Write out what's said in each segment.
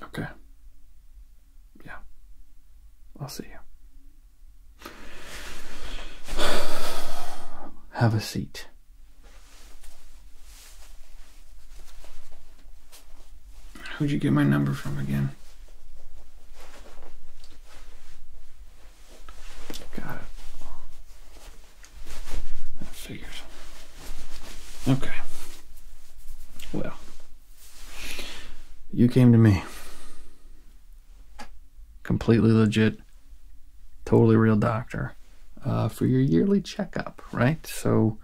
Okay. Yeah. I'll see you. Have a seat. Who'd you get my number from again? Got it. That Okay. Well, you came to me. Completely legit, totally real doctor uh, for your yearly checkup, right? So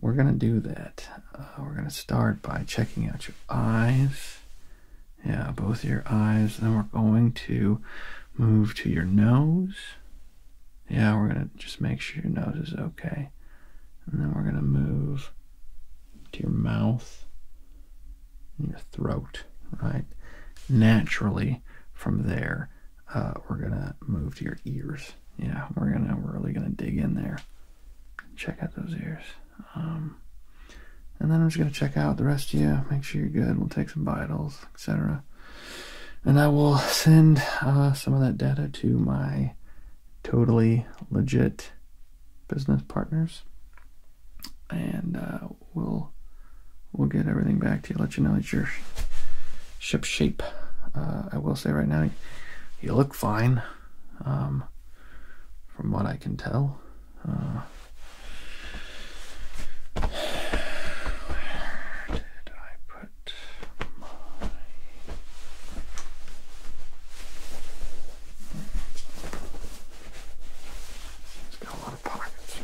we're going to do that. Uh, we're going to start by checking out your eyes. Yeah, both your eyes. Then we're going to move to your nose. Yeah, we're going to just make sure your nose is okay. And then we're going to move to your mouth your throat, right? Naturally, from there, uh, we're going to move to your ears. Yeah, we're going to really going to dig in there check out those ears. Um, and then I'm just going to check out the rest of you, make sure you're good. We'll take some vitals, etc. And I will send uh, some of that data to my totally legit business partners. And uh, we'll we'll get everything back to you, let you know that you're shipshape. Uh, I will say right now, you look fine. Um, from what I can tell. Uh, where did I put my. It's got a lot of pockets.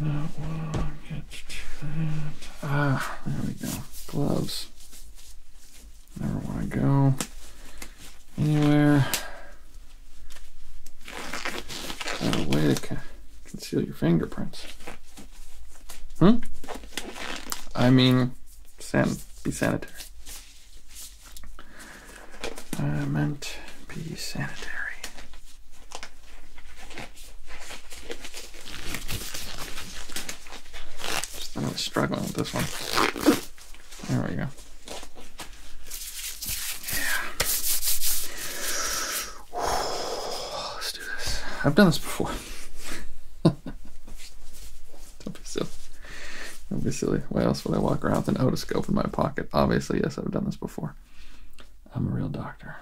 That one, Ah, there we go. Gloves. Never want to go anywhere. Oh, a way to conceal your fingerprints. Huh? Hmm? I mean, be sanitary. I meant be sanitary. Just, I'm really struggling with this one. There we go. Yeah. Let's do this. I've done this before. Don't be silly. Don't be silly. Why else would I walk around with an otoscope in my pocket? Obviously, yes, I've done this before. I'm a real doctor.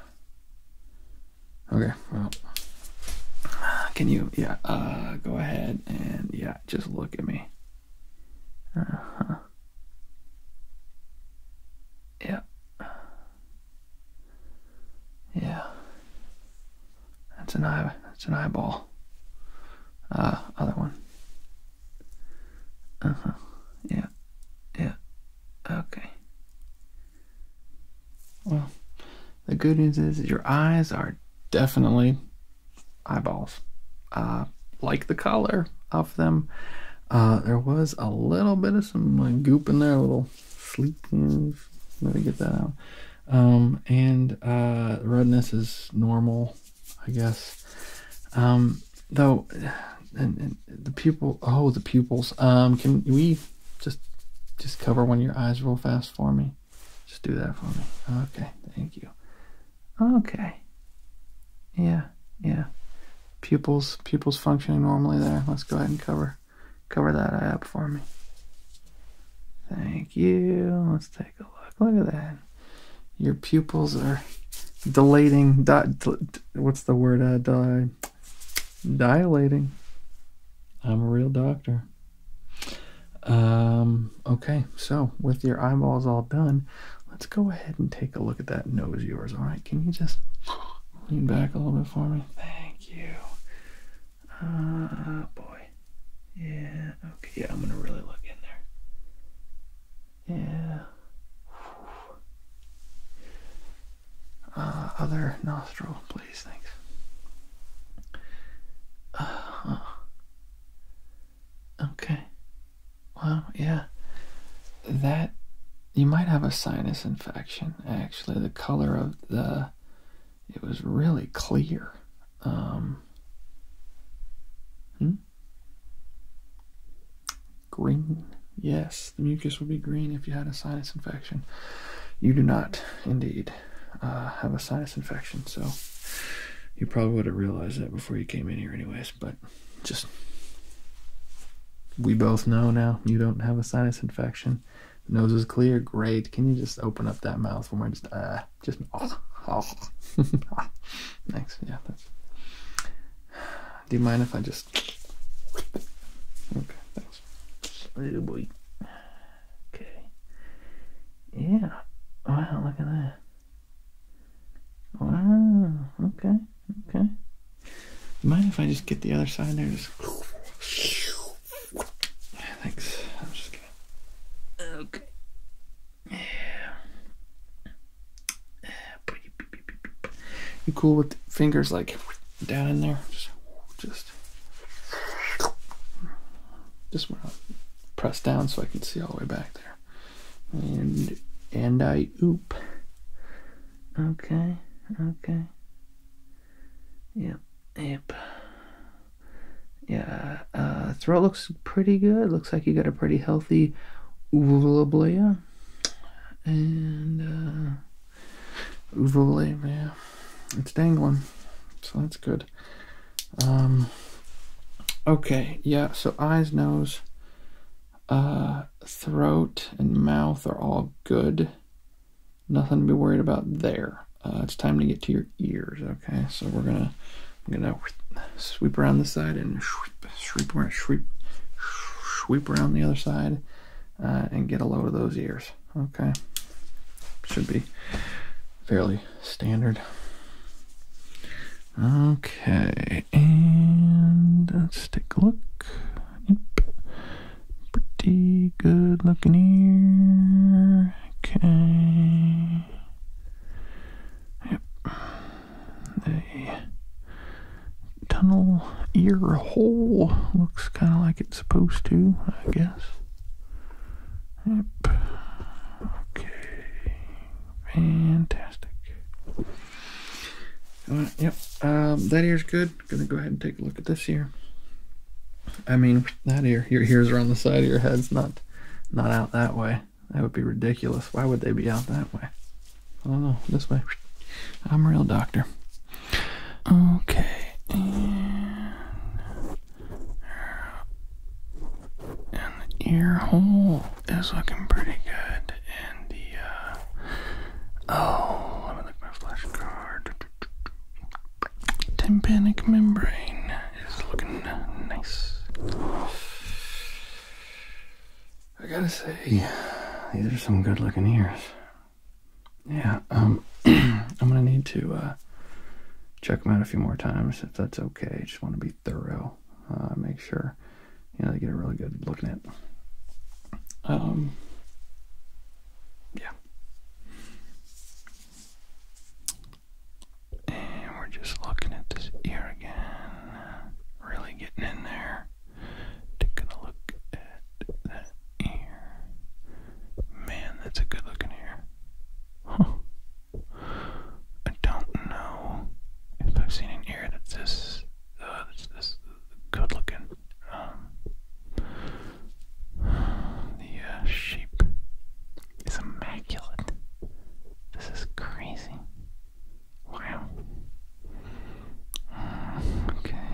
Okay, well, uh, can you, yeah, uh, go ahead and, yeah, just look at me. Uh huh. Yeah. Yeah. That's an eye, that's an eyeball. Uh, other one. Uh huh. Yeah. Yeah. Okay. Well, the good news is your eyes are definitely eyeballs. like the color of them. Uh, there was a little bit of some goop in there, a little sleep. Let me get that out. Um, and uh, redness is normal, I guess. Um, though and, the pupil. Oh, the pupils. Um, can we just just cover one of your eyes real fast for me? Just do that for me. Okay, thank you. Okay. Yeah, yeah. Pupils, pupils functioning normally there. Let's go ahead and cover cover that eye up for me. Thank you. Let's take a look. Look at that. Your pupils are dilating. Di, what's the word? Uh, di, dilating. I'm a real doctor. Um, okay, so with your eyeballs all done, let's go ahead and take a look at that nose of yours. All right, can you just lean back a little bit for me? Thank you. Ah, boy. Yeah, okay, yeah, I'm gonna really look in there. Yeah. Uh, other nostril, please, thanks. Uh, okay. Well, yeah. That, you might have a sinus infection, actually. The color of the, it was really clear. Um, hmm? Green, yes the mucus would be green if you had a sinus infection. You do not, indeed, uh, have a sinus infection, so you probably would have realized that before you came in here, anyways. But just we both know now you don't have a sinus infection. nose is clear, great. Can you just open up that mouth for me? just uh, just oh, oh. thanks. Yeah, Do you mind if I just? just okay. Thanks. Little boy. Okay. Yeah. Wow. Look at that. Wow. Okay. Okay. Mind if I just get the other side there? Just. Thanks. Okay. Yeah. You cool with fingers like down in there? Just, just, just want to press down so I can see all the way back there. And and I oop. Okay, okay. Yep, yep. Yeah, uh, throat looks pretty good. Looks like you got a pretty healthy uvula And uh, Uvule, yeah. It's dangling. So that's good. Um, okay, yeah, so eyes, nose, uh, throat and mouth are all good. Nothing to be worried about there. Uh, it's time to get to your ears, okay? So we're gonna I'm gonna sweep around the side and sweep sweep sweep sweep around the other side uh, and get a load of those ears. Okay, should be fairly standard. Okay, and let's take a look. Pretty good looking ear. Okay. Yep. They tunnel ear hole looks kind of like it's supposed to, I guess. Yep. Okay. Fantastic. Uh, yep. Um, that ear's good. Gonna go ahead and take a look at this ear. I mean, that ear. Your ears are on the side of your head's not, not out that way. That would be ridiculous. Why would they be out that way? I don't know. This way. I'm a real doctor. Okay. And, the ear hole is looking pretty good. And the, uh, oh, let me look at my flashcard. Tympanic membrane is looking nice. I gotta say, these are some good looking ears yeah, um, I'm gonna need to uh, check them out a few more times if that's okay. Just want to be thorough, uh, make sure you know they get a really good look at it. Um, yeah, and we're just looking at this ear again, really getting in there. Taking a look at that ear. Man, that's a good looking ear. I don't know if I've seen an ear that's this, uh, that's this good looking. Um, the uh, shape is immaculate. This is crazy. Wow okay.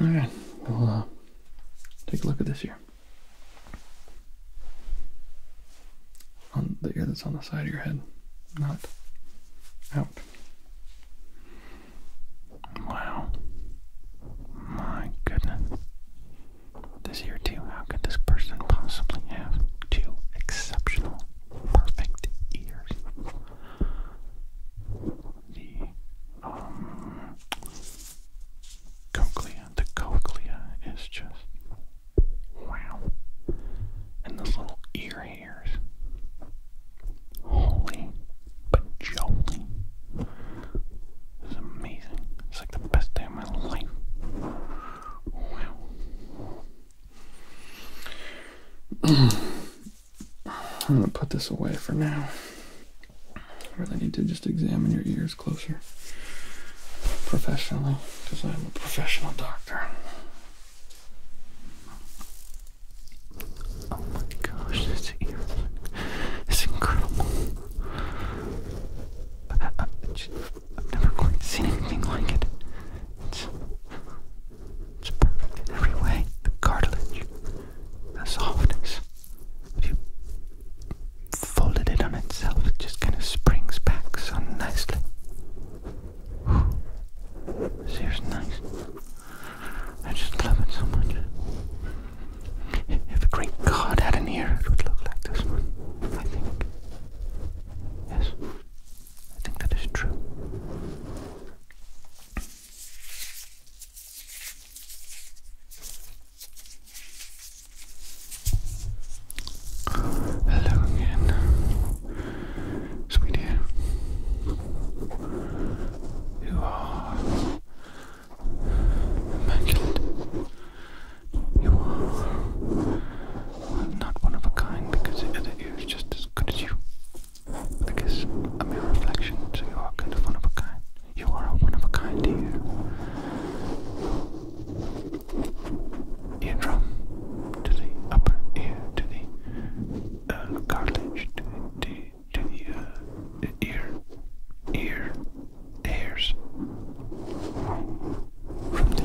All right, we'll uh, take a look at this here. On the ear that's on the side of your head, not out. Wow. My goodness. This ear, too. How could this person possibly have two exceptional perfect ears. The um, cochlea, the cochlea is just wow. And those little ear hairs. Holy bajoli. This is amazing. It's like the best day of my life. Wow. I'm going to put this away for now. I really need to just examine your ears closer professionally because I'm a professional doctor. Oh my gosh, this ear is incredible. Uh, uh, I've never quite seen anything like it. It's, it's perfect in every way. The cartilage, the softness. If you folded it on itself, it just kind of springs back so nicely. Whew. This ear's nice. I just love it so much. If a great god had an ear, it would look like this one, I think. Yes. I think that is true. Hello again, sweetie. You are immaculate. You are well, not one of a kind because the other ear is just as good as you. I a mere reflection, so you are kind of one of a kind. You are a one of a kind ear. Eardrum to the upper ear, to the uh, cartilage, to the, to, the, uh, ear, ear, hairs. From the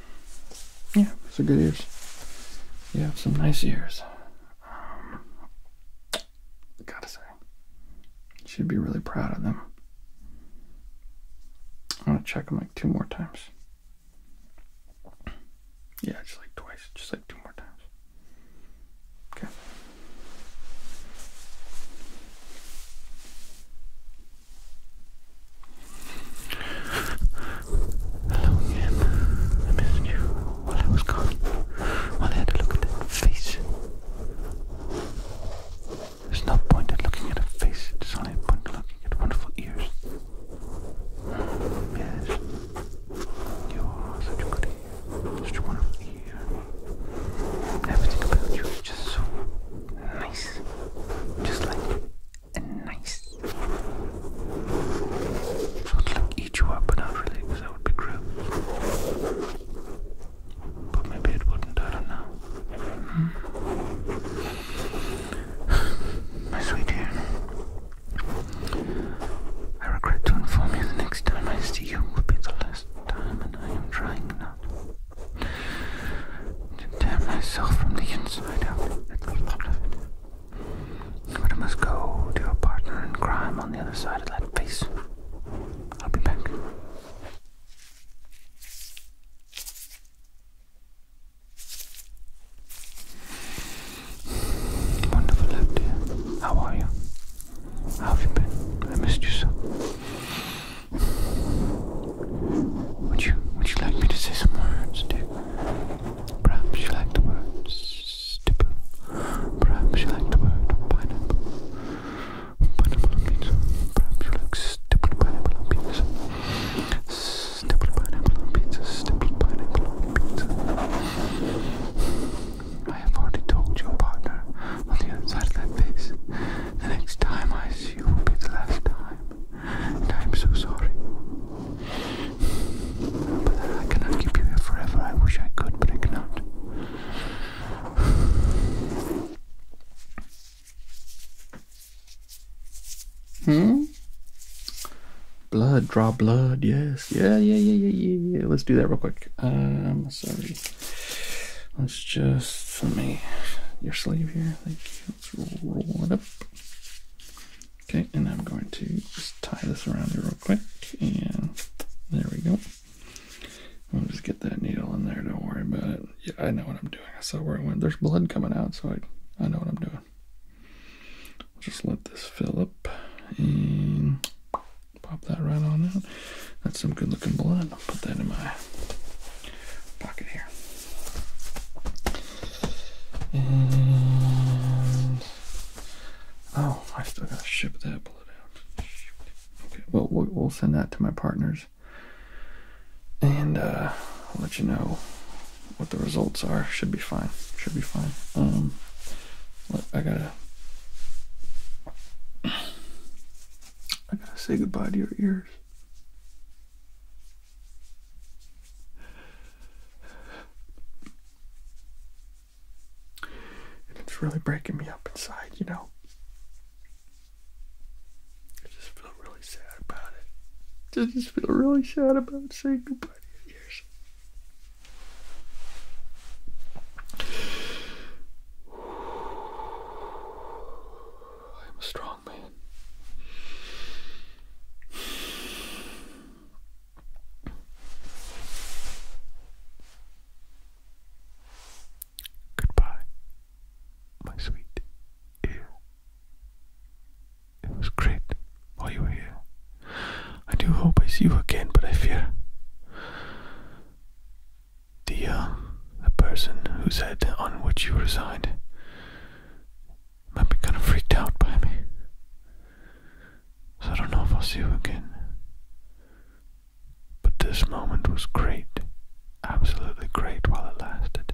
Yeah, those are good ears. You have some nice ears. Um, gotta say, you should be really proud of them. I'm gonna check them like two more times. Yeah, just like twice, just like two more times. Okay. Hello again. I missed you while I was gone. I had to look at that face. There's no point in looking at a face. There's only a point looking at wonderful ears. yes. You are such a good ear. Such a wonderful ear. Everything about you is just so nice. Just like and nice. So it's like eat you up, but not really, because that would be gross. But maybe it wouldn't, I do hmm. My sweet dear, I regret to inform you the next time I see you will be the last time, and I am trying not to tear myself from the inside out at the thought but I must go to a partner in crime on the other side of that face. I'll be back. Wonderful love, dear. How are you? How have you been? I missed you so. Would you would you like me to say some words, dear? Perhaps you like the word stipple. Perhaps you like the word pineapple. Pineapple on pizza. Perhaps you like stippled pineapple on pizza. Stippled pineapple on pizza. Stippled pineapple on pizza. I have already told your partner on the other side of that face. The next time I see you will be the last time. And I'm so sorry. But I cannot keep you here forever. I wish I could, but I cannot. Hmm? Blood, draw blood, yes. Yeah, yeah, yeah, yeah, yeah. Let's do that real quick. Um, sorry. Let's just, let me, your sleeve here, thank you. Let's roll it up. Okay, and I'm going to just tie this around here real quick, and there we go. I'll just get that needle in there, don't worry about it. Yeah, I know what I'm doing. I saw where it went. There's blood coming out, so I, I know what I'm doing. just let this fill up and pop that right on out. That's some good looking blood. I'll put that in my pocket here. And oh, I still gotta ship that bullet out. Okay, well, we'll send that to my partners, and uh, I'll let you know what the results are. Should be fine. Should be fine. Um, I gotta. I gotta say goodbye to your ears. And it's really breaking me up inside, you know. I just feel really sad about it. I just feel really sad about saying goodbye to your I'm strong. Goodbye, my sweet It was great while you were here. I do hope I see you again, but I fear the uh, the person who said on which you reside might be kind of freaked out by me. So I don't know if I'll see you again. But this moment was great, absolutely great while it lasted.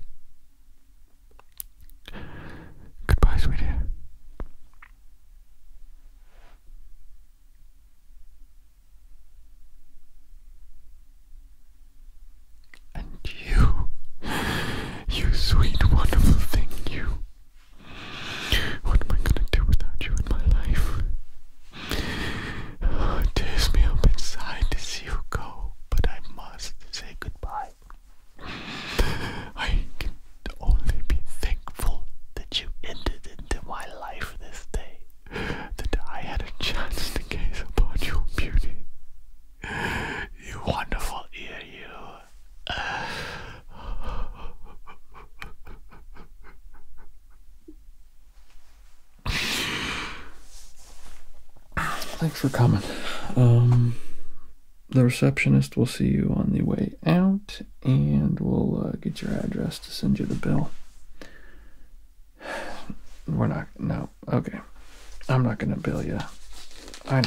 Goodbye, sweetie. And you, you sweet, wonderful thing, you. What am I gonna do without you in my life? Oh, it tears me up inside to see you go, but I must say goodbye. I can only be thankful that you entered into my life this day, that I had a chance to gaze upon your beauty. You wonderful ear, you. Thanks for coming. Um, the receptionist will see you on the way out and we'll uh, get your address to send you the bill. We're not, no, okay. I'm not gonna bill you. I.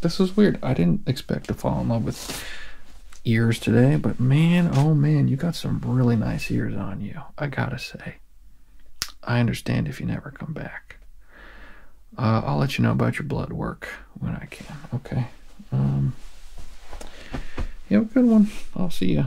This was weird. I didn't expect to fall in love with ears today, but man, oh man, you got some really nice ears on you. I gotta say. I understand if you never come back. Uh, I'll let you know about your blood work when I can. Okay. Um. You have a good one. I'll see ya.